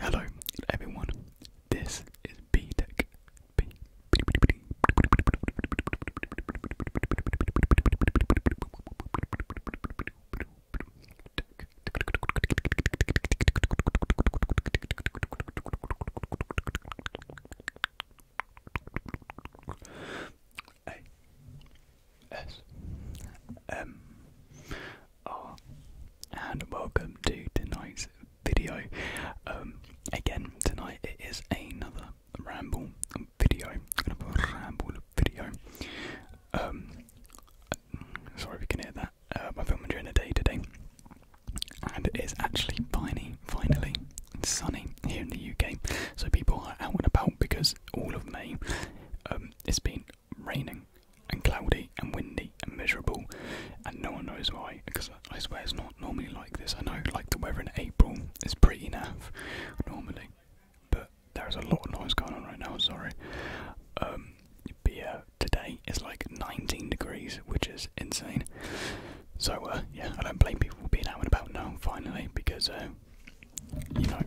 Hello, everyone. This is B Tech. B. A. S. M. Oh, and welcome to tonight's video. Um, again, tonight it is another ramble video. Another ramble video. Um, sorry if you can hear that. Uh, I'm filming during the day today, and it is actually finally, finally sunny here in the UK. So people are out and about because all of May um, it's been raining and cloudy and windy and miserable, and no one knows why. Because I swear it's not normally like this. I know, like the weather in April is pretty naff normally, but there is a lot of noise going on right now. Sorry. Um, but yeah, today is like 19 degrees, which is insane. So uh, yeah, I don't blame people for being out and about now finally because uh, you know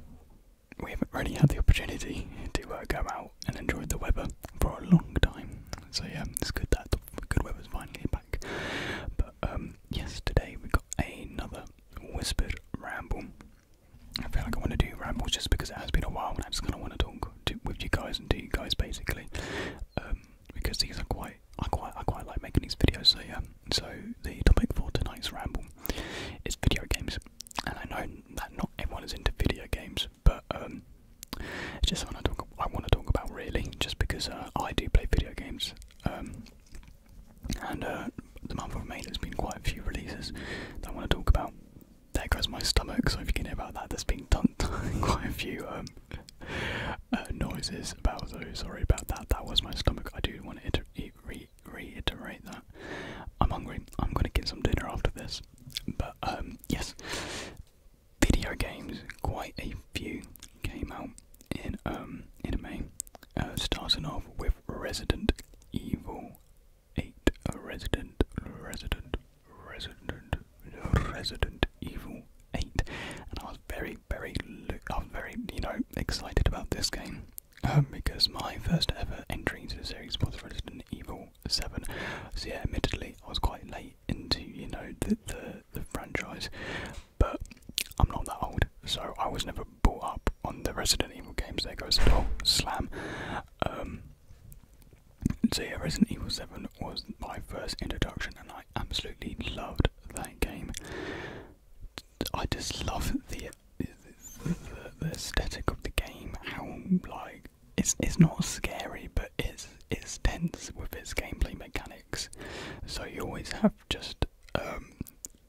we haven't really had the opportunity to uh, go out and enjoy the weather for a long time. So yeah, it's good that the good weather's finally back. But um, yesterday we got another whispered ramble. I feel like I want to do rambles just because it has been a while, and I just kind of want to talk with you guys and do you guys basically, um, because these are quite. I quite I quite like making these videos. So yeah. So the topic for tonight's ramble is video games and I know that not everyone is into video games, but um, it's just something I, want to talk about really, just because uh, I do play video games. Um, and uh, the month of May, has been quite a few releases that I want to talk about. There goes my stomach, so if you can hear about that, there's been done quite a few um, uh, noises about those. Sorry about that, that was my stomach. I do want to re reiterate that. I'm hungry. I'm gonna get some dinner after this. But um, yes, video games. Quite a few came out in um in May. Uh, starting off with Resident Evil 8. Uh, Resident, Resident, Resident, Resident Evil 8. And I was very, very, I was very, you know, excited about this game. Um, because my first ever entry into the series was Resident Evil 7. So yeah, admittedly, I was quite late into you know the the, franchise, but I'm not that old, so I was never brought up on the Resident Evil games. There goes the whole slam. Um, so yeah, Resident Evil 7 was my first introduction, and I absolutely loved that game. I just love the the, aesthetic of the game, how like it's it's not scary, but it's it's tense with its gameplay mechanics. So you always have just um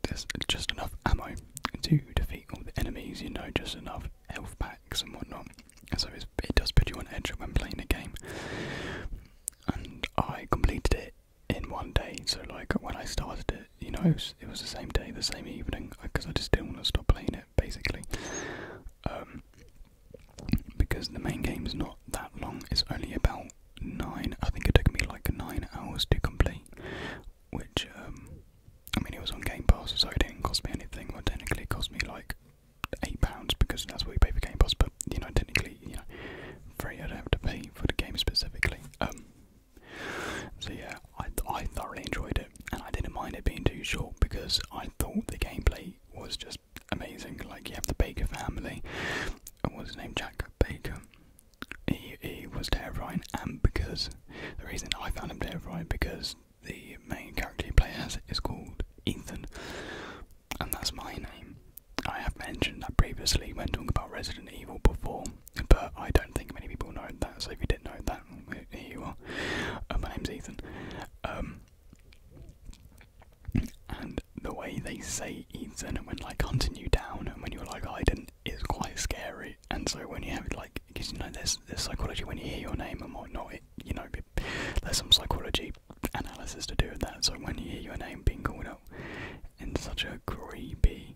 there's just enough ammo to defeat all the enemies. You know, just enough health packs and whatnot. So it does put you on edge when playing the game. And I completed it in one day. So like when I started it you know it was, the same day, the same evening, because I just didn't want to stop playing it basically. Um, because the main game's not that long; it's only about nine. I think it took me like nine hours to complete, which um, I mean it was on Game Pass, so it didn't cost me anything. Well, technically, it cost me like eight pounds because that's what you pay for Game Pass. But you know, technically, you know, free. I don't have to pay for the game specifically. Um, so yeah, I, thoroughly enjoyed it, and I didn't mind it being too short because I thought the gameplay was just amazing. Like you have the Baker family, and what's his name, Jack Baker. He he was terrifying, and because the reason I found him terrifying because the main character you play as is called Ethan, and that's my name. I have mentioned that previously when talking about Resident Evil before, but I don't think many people know that. So if you didn't know that, here you are. Uh, my name's Ethan. Um, and the way they say Ethan and when like hunting you down and when you're like I it's quite scary. And so when you have like, because you know there's there's psychology when you hear your name and whatnot. It, you know there's some psychology analysis to do with that. So when you hear your name being called out, in such a creepy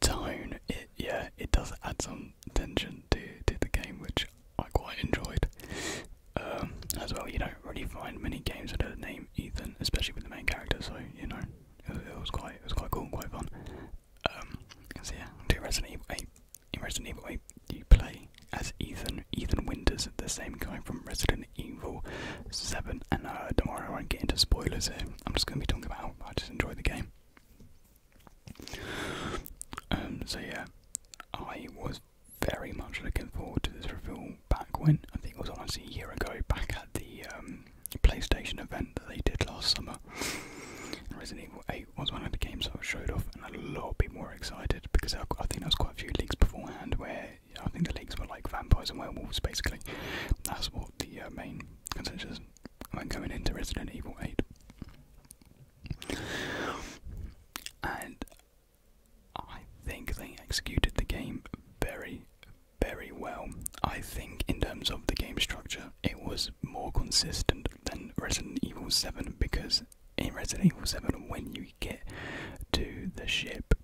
tone. It yeah, it does add some tension to to the game, which I quite enjoyed. Um, as well, you don't really find many games under the name Ethan, especially with the main character. So you know, it, was quite it was quite cool, and quite fun. Um, so yeah, do Resident Evil 8. In Resident Evil 8, you play as Ethan, Ethan Winters, the same guy from Resident Evil 7. And don't uh, worry, I won't get into spoilers here. I'm just going to be talking about I just enjoy the game. Um, so yeah, I was very much looking forward to this review back when I think it was almost a year ago, back at the um, PlayStation event that they did last summer. Resident Evil 8 was one of the games that I showed off, and a lot people were excited because I, I think there was quite a few leaks beforehand where I think the leaks were like vampires and werewolves basically. That's what the uh, main consensus when going into Resident Evil 8. And I think they executed the game very, very well. I think, in terms of the game structure, it was more consistent than Resident Evil 7 because in Resident Evil 7, when you get to the ship,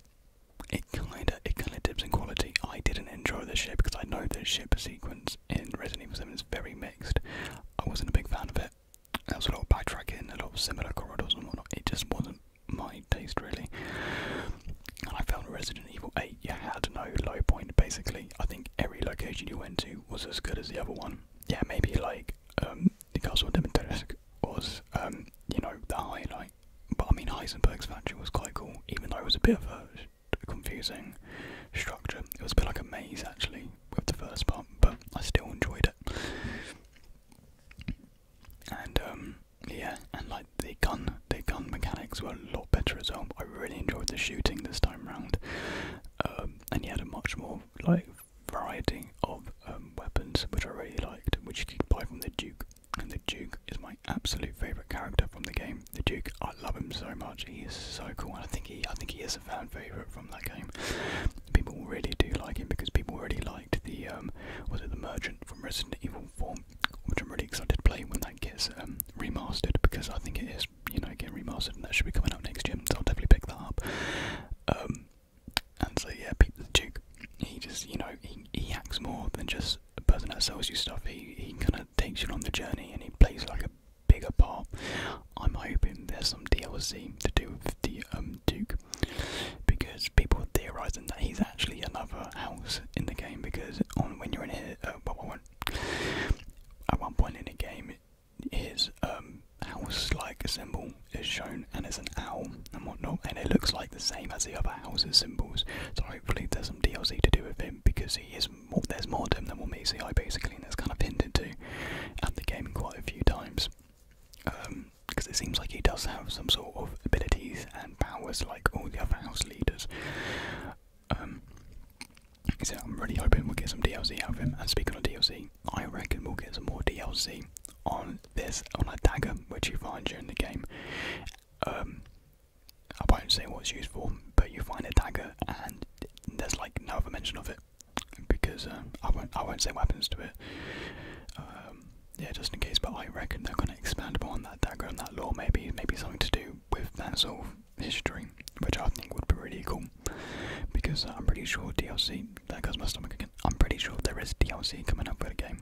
it kinda it kinda dips in quality. I didn't enjoy the ship because I know the ship sequence in Resident Evil 7 is very mixed. I wasn't a big fan of it. There was a lot of backtracking, a lot of similar corridors and whatnot. It just wasn't my taste really. And I found Resident Evil 8, you had no low point basically. I think every location you went to was as good as the other one. Yeah, maybe like um, the Castle of Dementersk was um, you know, the highlight but I mean, Heisenberg's factory was quite cool, even though it was a bit of a confusing structure. It was a bit like a maze actually with the first part, but I still enjoyed it. And um, yeah, and like the gun, the gun mechanics were a lot better as well. I really enjoyed the shooting this time round, um, and you had a much more like variety of um, weapons, which I really liked, which you could buy from the Duke and the Duke is my absolute favourite character from the game. The Duke, I love him so much. He is so cool. And I think he, I think he is a fan favourite from that game. People really do like him because people really liked the, um, was it the Merchant from Resident Evil 4, which I'm really excited to play when that gets um, remastered because I think it is, you know, getting remastered and that should be coming out next year. So I'll definitely pick that up. Um, and so yeah, the Duke, he just, you know, he, he acts more than just the person that sells you stuff, he, he kind of takes you on the journey and he plays like a bigger part. I'm hoping there's some DLC to do with the um, Duke because people are theorising that he's actually another house in the game because on when you're in here, uh, well, well, at one point in the game, his um, house-like symbol is shown and it's an owl and whatnot, and it looks like the same as the other houses symbols. So hopefully there's some DLC to do with him because he is there's more to him than what meets the eye basically, and it's kind of pinned into at the game quite a few times. because um, it seems like he does have some sort of abilities and powers like all the other house leaders. Um, so I'm really hoping we'll get some DLC out of him. And speaking of DLC, I reckon we'll get some more DLC on this on a dagger which you find during the game. Um, I won't say what it's used for, but you find a dagger and there's like no other mention of it because uh, I won't I won't say weapons to it. Um, yeah, just in case. But I reckon they're gonna expand upon that dagger and that lore. Maybe maybe something to do with that sort of history, which I think would be really cool. Because I'm pretty sure DLC. That goes my stomach again. I'm pretty sure there is DLC coming up for the game.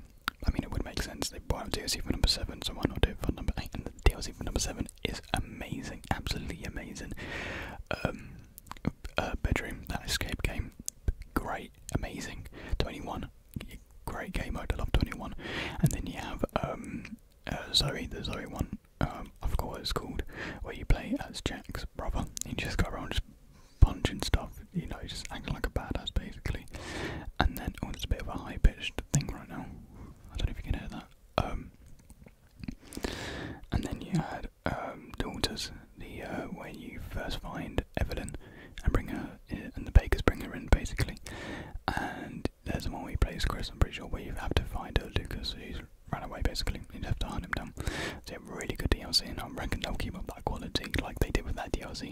I mean, it would make sense. They bought out DLC for number 7, so why not do it for number 8? And the DLC for number 7 is amazing, absolutely amazing. Um, uh, bedroom, that escape game, great, amazing. 21, great game mode, I love 21. And then you have um, uh, Zoe, the Zoe one, um, I forgot what it's called, where you play as Jack's brother. You just go around punching stuff, you know, just acting like a badass basically. And then, oh, it's a bit of a high pitched thing right now. I don't know if you can hear that. Um, and then you had um, Daughters, the uh, where you first find Evelyn and bring her, in, eh, and the Bakers bring her in basically. And there's the one we you play as Chris, I'm pretty sure, where you have to find uh, Lucas, who's ran away basically. You have to hunt him down. It's a really good DLC, and I reckon they'll keep up that quality like they did with that DLC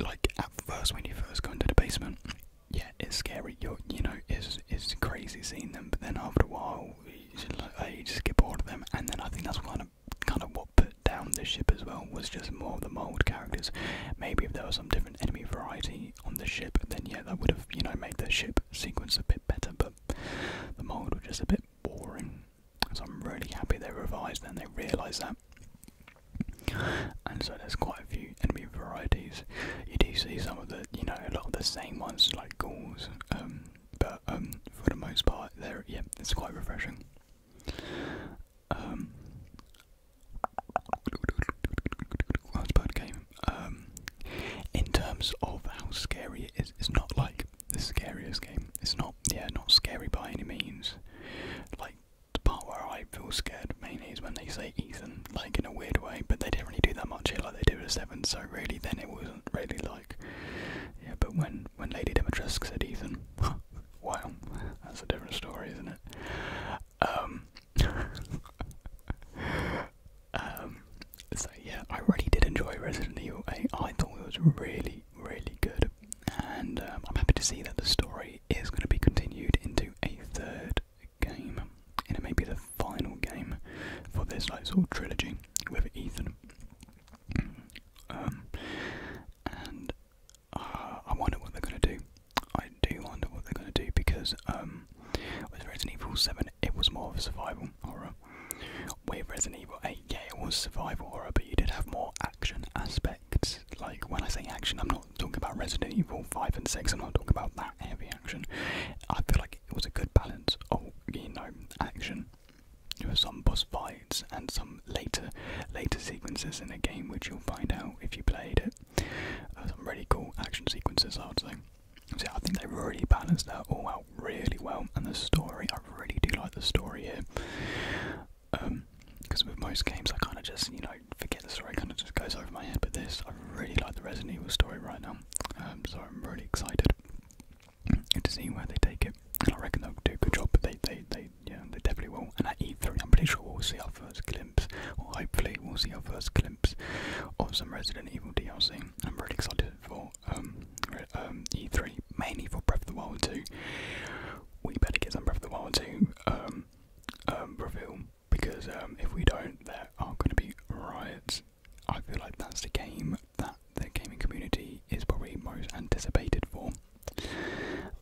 like at first when you first go into the basement, yeah, it's scary. You you know, it's it's crazy seeing them. But then after a while, you just, like, oh, get bored of them. And then I think that's kind of kind of what put down the ship as well was just more of the mold characters. Maybe if there was some different enemy variety on the ship, then yeah, that would have you know made the ship sequence a bit better. But the mold was just a bit boring. So I'm really happy they revised and they realised that. And so there's quite a few enemy varieties. You do see some of the, you know, a lot of the same ones like ghouls, um, but um, for the most part, they're yeah, it's quite refreshing. Um, game. Um, in terms of how scary it is, it's not like the scariest game. It's not, yeah, not scary by any means. Like the part where I feel scared mainly is when they say Ethan, like in a weird way, but they didn't really do that much here like they did with Seven, so really then it wasn't really like Yeah, but when when Lady Demetrescu said Ethan Wow, that's a different story, isn't it? Um Um so yeah, I really did enjoy Resident Evil 8. I thought it was really, really good, and um, I'm happy to see that the story it is going to be continued into a third game, and it may be the final game for this like of trilogy with Ethan. Um, and uh, I wonder what they're going to do. I do wonder what they're going to do because um, with Resident Evil 7, it was more of a survival horror. With Resident Evil 8, yeah, it was survival horror, but you did have more action aspects like when I say action, I'm not talking about Resident Evil 5 and 6, I'm not talking about that heavy action. I feel like it was a good balance of, you know, action. There were some boss fights and some later later sequences in the game, which you'll find out if you played it. Uh, some really cool action sequences, I would say. So I think they really balanced that all out really well, and the story, I really do like the story here because um, with most games I kind of just you know forget the story, kind of just goes over my head. But this, I really like the Resident Evil story right now, um, so I'm really excited to see where they take it. And I reckon they'll do a good job. But they, they, they, yeah, they definitely will. And at E3, I'm pretty sure we'll see our first glimpse, or hopefully we'll see our first glimpse of some Resident Evil DLC. I'm really excited for um, E3, mainly for Breath of the Wild 2. We better get some Breath of the Wild 2. Um, reveal because um, if we don't, there are going to be riots. I feel like that's the game that the gaming community is probably most anticipated for.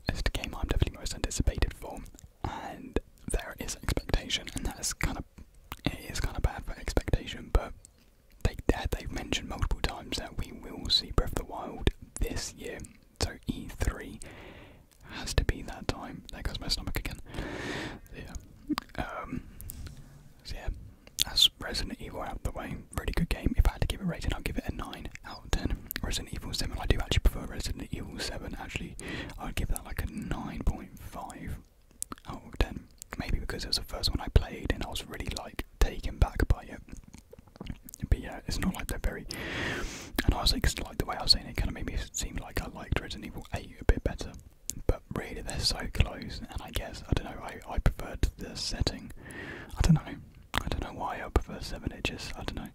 It's the game I'm definitely most anticipated for, and there is expectation, and that is kind of it is kind of bad for expectation, but they they've mentioned multiple times that we will see Breath of the Wild this year. So E3 has to be that time. There goes my stomach again. yeah. Um, so yeah, that's Resident Evil out the way. Really good game. If I had to give it a rating, I'd give it a 9 out of 10. Resident Evil 7, I do actually prefer Resident Evil 7. Actually, I'd give that like a 9.5 out of 10. Maybe because it was the first one I played and I was really like taken back by it. But yeah, it's not like they're very. And I was like, like the way I was saying it, kind of made me seem like I liked Resident Evil 8 a bit better. But really, they're so close, and I guess I don't know. I I preferred the setting. I don't know. I don't know why I prefer Seven. Inches. I don't know.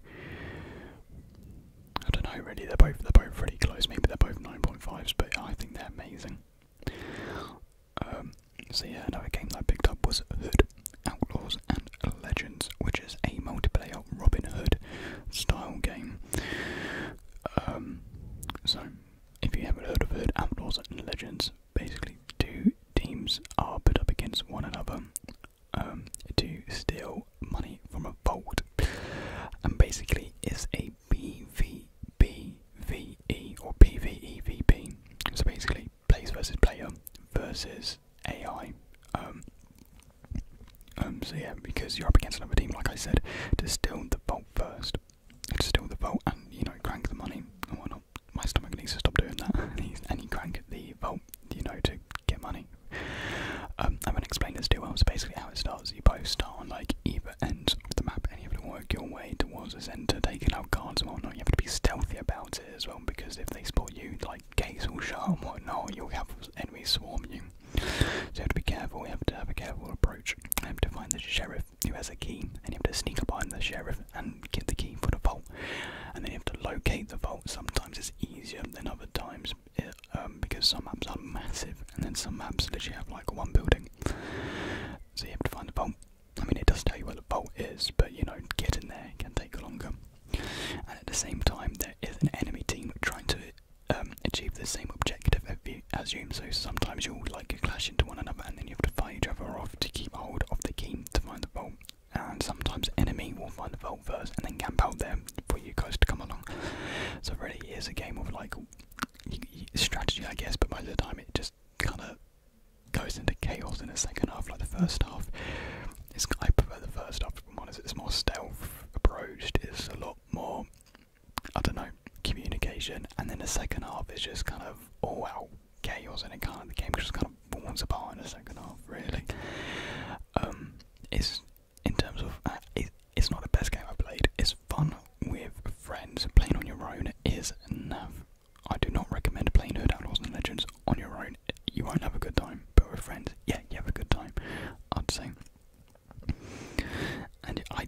I don't know really. They're both they're both really close. Maybe they're both 9.5s, but I think they're amazing. Um, so yeah, another game that I picked up was Hood Outlaws and Legends, which is a multiplayer Robin Hood style game. Um, so, if you haven't heard of it, Outlaws and Legends, basically two teams are put up against one another um, to steal money from a vault, and basically it's a PvPVE or PvEVP. So basically, place versus player versus AI. Um, um, so yeah, because you're up against another team, like I said, distill the vault first, distill the vault, and you know crank the money and oh, whatnot. My stomach needs to stop doing that, and you crank the vault, you know, to get money. Um, I haven't explained this too well. So basically, how it starts, you both start on like either end of the map, and you have to work your way towards the center, taking out cards and whatnot. You have to be stealthy about as well because if they spot you, like gates will shut and whatnot, you'll have enemies swarm you. So you have to be careful, you have to have a careful approach. You have to find the sheriff who has a key, and you have to sneak behind the sheriff and get the key for the vault. And then you have to locate the vault. Sometimes it's easier than other times uh, um, because some maps are massive, and then some maps literally have like one building. So you have to find the vault. I mean, it does tell you where the vault is, but you know, getting there can take longer. And at the same time, there is an enemy team trying to um, achieve the same objective as you, so sometimes you'll like clash into one another and then you have to fight each other off to keep hold of the key to find the vault. And sometimes enemy will find the vault first and then camp out there for you guys to come along. So really, it is a game of like strategy, I guess, but most of the time it just kind of goes into chaos in the second half, like the first half. I prefer the first half, one is it's more stealth approached, it's a lot more, I don't know, communication, and then the second half is just kind of all out chaos, and it kind of, the game just kind of falls apart in the second half, really. Um, it's, in terms of, uh, it's not the best game I've played, it's fun with friends, playing on your own is enough I do not recommend playing No Outlaws and Legends on your own. You won't have a good time, but with friends, yeah, you have a good time. I'd say. And I,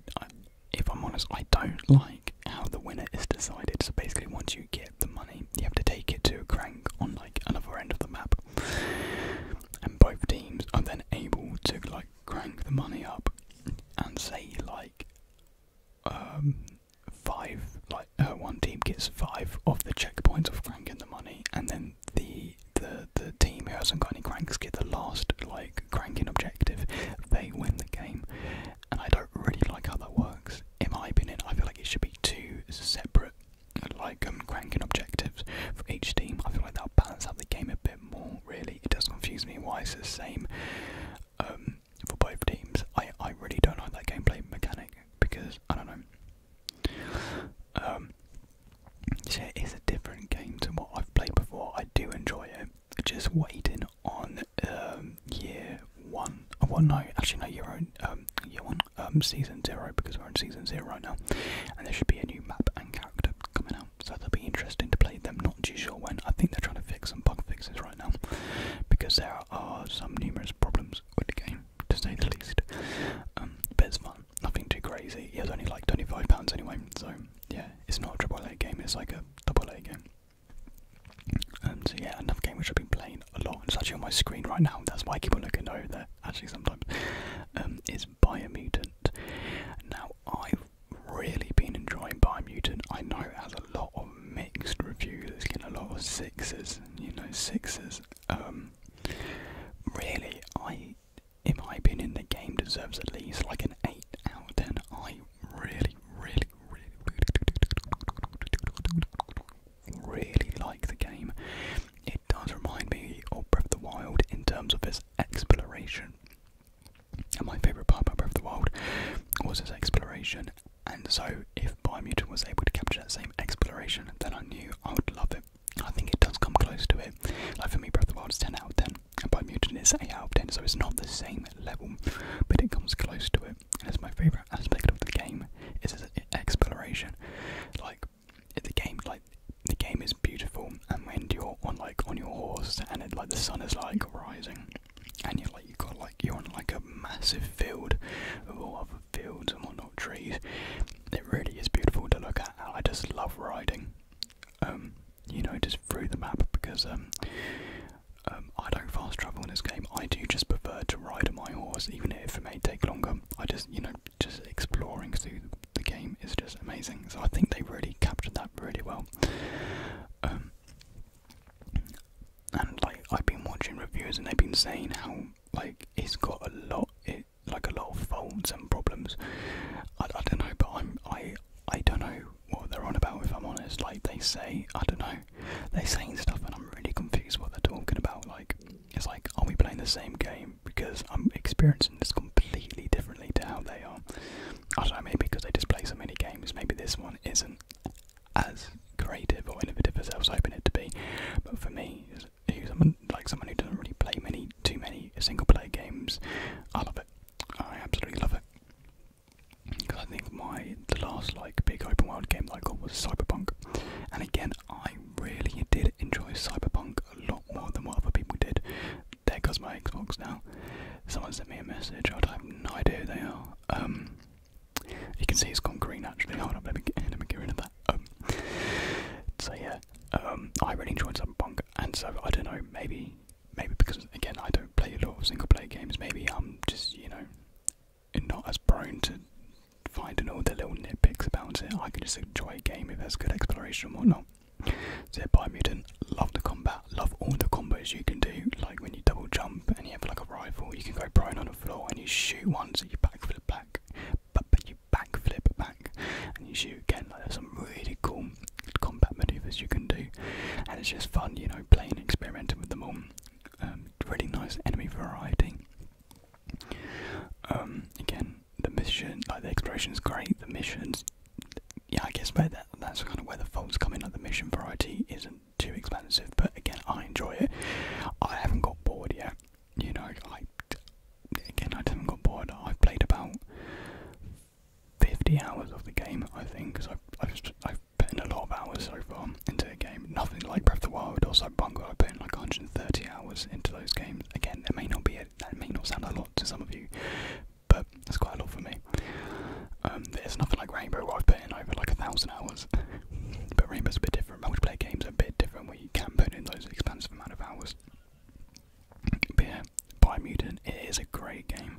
if I'm honest, I don't like how the winner is decided. So basically, once you get the money, you have to take it to a crank on like another end of the map, and both teams are then able to like crank the money up and say like um, five, like uh, one team gets five of the checkpoints of cranking the money, and then the the the team who hasn't got any cranks get the last like cranking objective. They win the game, and I don't really like how that works. In my opinion, I feel like it should be two separate like um, cranking objectives for each team. I feel like that'll balance out the game a bit more. Really, it does confuse me why it's the same um, for both teams. I, I really don't like that gameplay mechanic because, I don't know. Um, it is a different game to what I've played before. I do enjoy it. Just waiting on um, year one. Oh, well, no, actually, no, year, um, year one. Um, season zero, because we're in season zero right now. And there should be a new map and character coming out. So that'll be interesting to play them. Not too sure when. I think they're trying to fix some bug fixes right right now because there are some numerous problems with the game, to say the least. Um, but it's fun, nothing too crazy. It was only like £25 anyway, so yeah, it's not a triple A game, it's like a double A game. Um, so yeah, another game which I've been playing a lot, it's actually on my screen right now, that's why I keep on looking over there, actually sometimes, um, is Biomutant. Now, I've really been enjoying Biomutant, I know it has a lot of of mixed reviews. It's getting a lot of sixes, you know, sixes. Um, really, I, in my opinion, the game deserves at least like an eight out of ten. I really, really, really, really like the game. It does remind me of Breath of the Wild in terms of its exploration. And my favourite part about Breath of the Wild was its exploration and so, if Biomutant was able to capture that same exploration, then I knew I would love it. I think it does come close to it. Like for me, Breath of the Wild is 10 out of 10, and Biomutant is 8 out of 10, so it's not the same level, but it comes close to it. And it's my favourite aspect of the game is its exploration. Like the game, like the game is beautiful, and when you're on like on your horse, and like the sun is like rising, and you're like you have got like you're on like a massive field of all other fields and whatnot trees. It really is beautiful to look at. I just love riding. Um, you know, just through the map because um, um, I don't fast travel in this game. I do just prefer to ride my horse, even if it may take longer. I just, you know, just exploring through the game is just amazing. So I think they really captured that really well and like I've been watching reviews and they've been saying how like it's got a lot it like a lot of faults and problems. I, I don't know, but I'm I I don't know what they're on about if I'm honest. Like they say I don't know. They're saying stuff and I'm really confused what they're talking about. Like it's like are we playing the same game? Because I'm experiencing this completely differently to how they are. I don't know, maybe because they just play so many games, maybe this one isn't as creative or innovative as I was hoping it to be. But for me, who's someone like someone who doesn't really play many too many single player games, I love it. I absolutely love it. Because I think my the last like big open world game that I got was Cyberpunk, and again I really did enjoy Cyberpunk a lot more than what other people did. There goes my Xbox now. Someone sent me a message. I have no idea who they are. Um, you can see it's gone green actually. Hold up, let me get, let me get rid of that. Um, so yeah, um, I really enjoyed Cyberpunk, and so I don't know, maybe maybe because again I don't play a lot of single player games, maybe I'm just you know not as prone to finding all the little nitpicks about it. I can just enjoy a game if there's good exploration and whatnot. So bye, Biomutant, love the combat, love all the combos you can do. Like when you double jump and you have like a rifle, you can go prone on the floor and you shoot once at your backflip back, but, you backflip back and you shoot again. Like there's some really cool combat maneuvers you can do, and it's just fun, you know, playing, experimenting with them all. Um, really nice enemy variety. Um, again, the mission, like the exploration is great. The missions yeah, I guess that that's kind of where the faults come in. Like the mission variety isn't too expensive, but again, I enjoy it. I haven't got bored yet. You know, I again, I haven't got bored. I've played about fifty hours of the game, I think, because I've, I've put in a lot of hours so far into the game. Nothing like Breath of the Wild or Cyberpunk. I put in like 130 hours into those games. Again, that may not be a, that may not sound a lot to some of you, but that's quite a lot for me. Um, there's nothing like Rainbow where I've put in over like a thousand hours, but Rainbow's a bit different. Multiplayer games are a bit different where you can put in those expansive amount of hours. But yeah, it is a great game.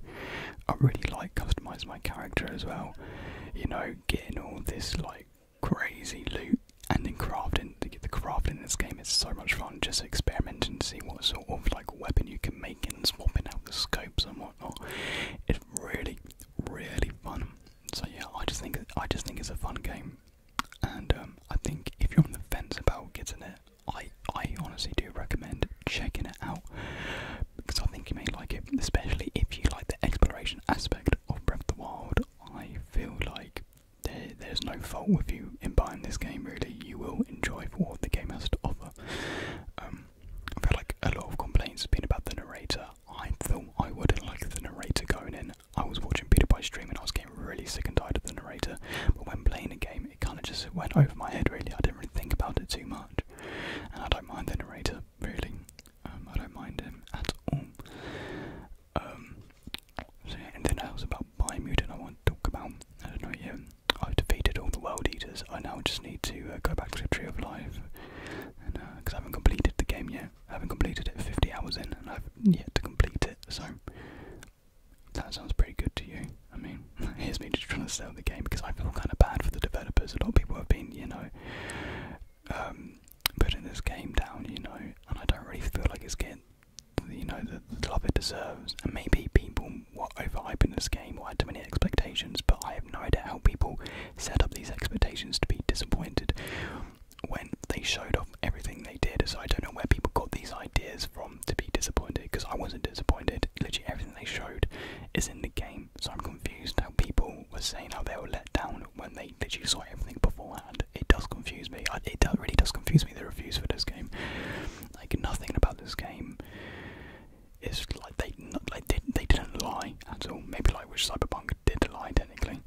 I really like customise my character as well. You know, getting all this like crazy loot and in crafting to get the crafting in this game is so much fun just experiment and see what sort of like weapon you can make and swapping out the scopes and whatnot. It's really, really fun. So yeah, I just think I just think it's a fun game, and um, I think if you're on the fence about getting it, I I honestly do recommend checking it out because I think you may like it, especially if you like the exploration aspect of Breath of the Wild. I feel like there, there's no fault with you in buying this game. Really, you will enjoy for what the game has to offer. Um, I've had like a lot of complaints been about the narrator. I thought I wouldn't like the narrator going in. I was watching Peter by stream and I was getting really sick and tired of the narrator. But when playing the game, it kind of just went over my head. Really, I didn't really think about it too much, and I don't mind the narrator really. Um, I don't mind him at all. Um, so yeah, anything else about Biomutant I want to talk about? I don't know yet. I've defeated all the World Eaters. I now just need to uh, go back to the Tree of Life, and because uh, I haven't completed the game yet, I haven't completed it 50 hours in, and I've yet to complete it. So that sounds pretty good to you. I mean, here's me just trying to sell the game because I feel kind of bad for the developers. A lot of people have been, you know, um, putting this game down, you know, and I don't really feel like it's getting, you know, the love it deserves. And maybe people what overhype in this game or had too many expectations, but I have no idea how people set up these expectations to be disappointed when they showed off everything they did. So I don't know where people got these ideas from to be disappointed because I wasn't disappointed. Literally everything they showed is in the game, so I'm confused how people were saying how they were let down when they literally saw everything beforehand. It does confuse me. It really does confuse me the reviews for this game. Like nothing about this game is like they they, didn't lie at all. Maybe like which Cyberpunk did lie technically,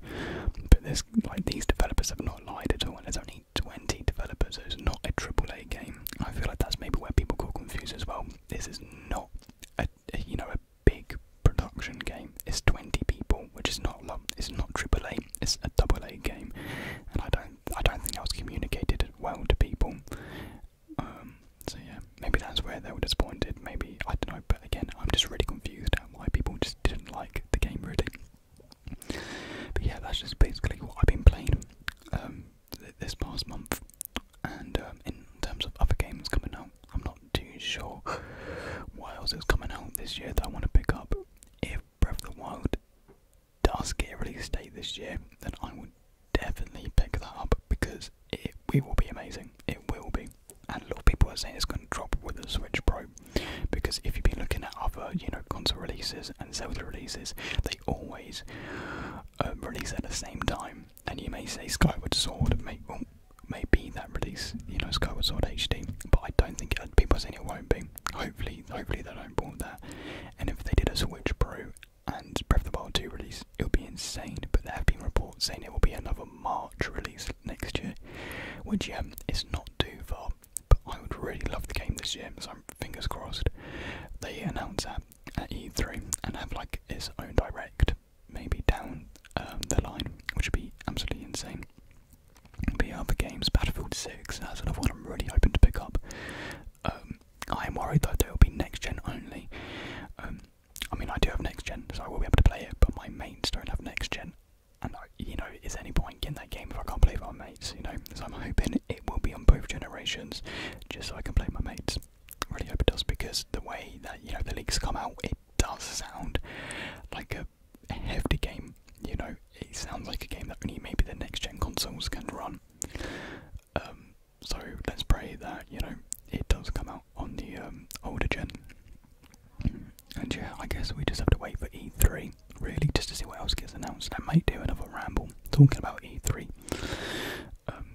but this like these developers have not lied at all. And there's only 20 developers. So it's not a triple A game. I feel like that's maybe where people got confused as well. This is not a, you know a big production game. It's 20 people, which is not a lot. It's not triple A. It's a double A game, and I don't I don't think that was communicated well to people. Um, so yeah, maybe that's where they were disappointed. Maybe I don't know. But again, I'm just really confused why people just didn't like the game really. But yeah, that's just basically what I've been playing um, this past month. And um, in terms of other games coming out, I'm not too sure what else is coming out this year that I want to pick up. If Breath of the Wild does get a release date this year, then I would definitely pick that up because it, it will be amazing. It will be. And a lot of people are saying it's going to drop with the Switch Pro because if you've been looking at other, you know, console releases and Zelda releases, they always um, release at the same time. And you may say Skyward Sword may may be that release, you know, Skyward Sword HD, but I don't think it, uh, people are saying it won't be hopefully, hopefully they don't port that. And if they did a Switch Pro and Breath of the Wild 2 release, it would be insane. But there have been reports saying it will be another March release next year, which yeah, um, is not too far. But I would really love the game this year, so I'm fingers crossed. They announce that at E3 and have like its own direct, maybe down um, the line, which would be absolutely insane. But yeah, other games, Battlefield 6. 6 and that's sort of what I'm really hoping to pick up. Um, I am worried though that it'll be next gen only. Um, I mean, I do have next gen, so I will be able to play it, but my mates don't have next gen. And, you know, is there any point in that game if I can't play with my mates, you know? So I'm hoping it will be on both generations just so I can play my mates. Really hope it does because the way that, you know, the leaks come out, it does sound like a hefty game, you know? it sounds like a game that only maybe the next gen consoles can run. Um, so let's pray that you know it does come out on the um, older gen. And yeah, I guess we just have to wait for E3 really just to see what else gets announced. I might do another ramble talking about E3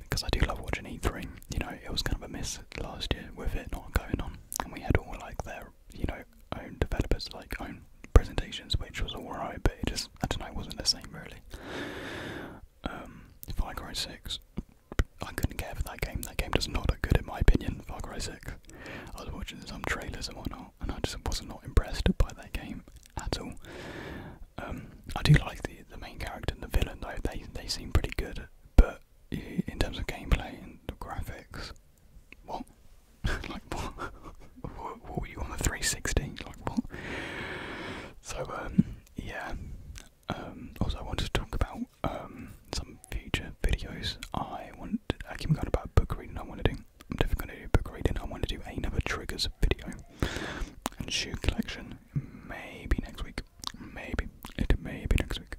because um, I do love watching E3. You know, it was kind of a miss last year with it not going on, and we had all like their you know own developers, like own presentations, which was alright, but it just I don't know, it wasn't the same really. Um, Far Cry Six, I couldn't care for that game. That game does not look good in my opinion. Far Cry Six. I was watching some trailers and whatnot, and I just was not not impressed by that game at all. Um, I do like the the main character and the villain though. They they seem pretty good, but in terms of gameplay and the graphics, what? like what? what? were you on the 360? Like what? So um, yeah. Um, also, I wanted to talk about um some future videos. I want I keep going about book reading. I want to do. I'm definitely going to do book reading. I want to do another triggers video and shoe collection. Maybe next week. Maybe Maybe next week.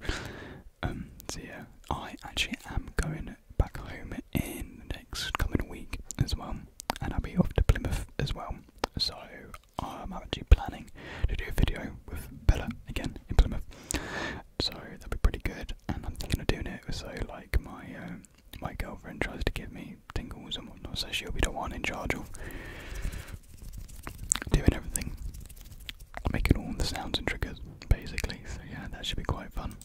Um. So yeah, I actually am going back home in the next coming week as well, and I'll be off to Plymouth as well. So I'm actually planning to do a video with Bella again in Plymouth. So that'll be pretty good, and I'm thinking of doing it so like my um, my girlfriend tries to get me tingles and whatnot, so she'll be the one in charge of doing everything, making all the sounds and triggers basically. So yeah, that should be quite fun.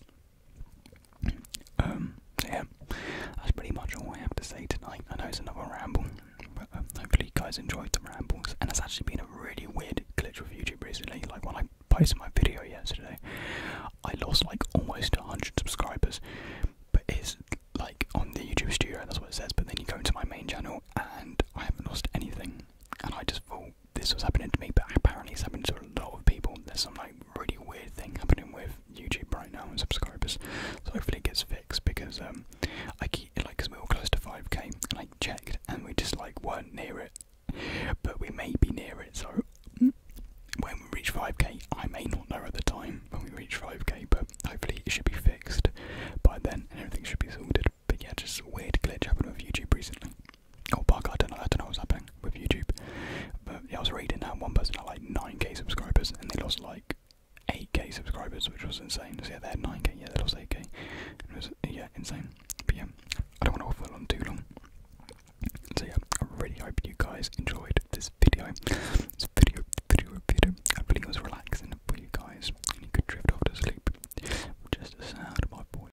Um, yeah, that's pretty much all I have to say tonight. I know it's another ramble, but um, hopefully you guys enjoyed the ramble. And it's actually been a really weird glitch with YouTube recently. Like when I posted my video yesterday, I lost like almost 100 subscribers. But it's like on the YouTube studio, that's what it says. But then you go into my main channel and I haven't lost anything. And I just thought this was happening to me, but apparently it's happening to a lot of people. There's some like really weird thing happening with YouTube right now and subscribers. So hopefully it gets fixed because um, I keep like because we were close to 5k and I checked and we just like weren't near it, but we may be near it. So when we reach 5k, I may not know at the time when we reach 5k, but hopefully it should be fixed by then and everything should be sorted. But yeah, just a weird glitch happening with YouTube recently. Oh, bug, I don't know, I don't know what's happening with YouTube. But yeah, I was reading that one person had like 9k subscribers and they lost like 8k subscribers, which was insane. So yeah, they had 9k, yeah, they lost 8k. It was, yeah, insane. But yeah, I don't want to waffle on too long. So yeah, I really hope you guys enjoyed this video. This video, video, video. Hopefully it was relaxing for you guys could drift off to sleep. Just the sound of my voice.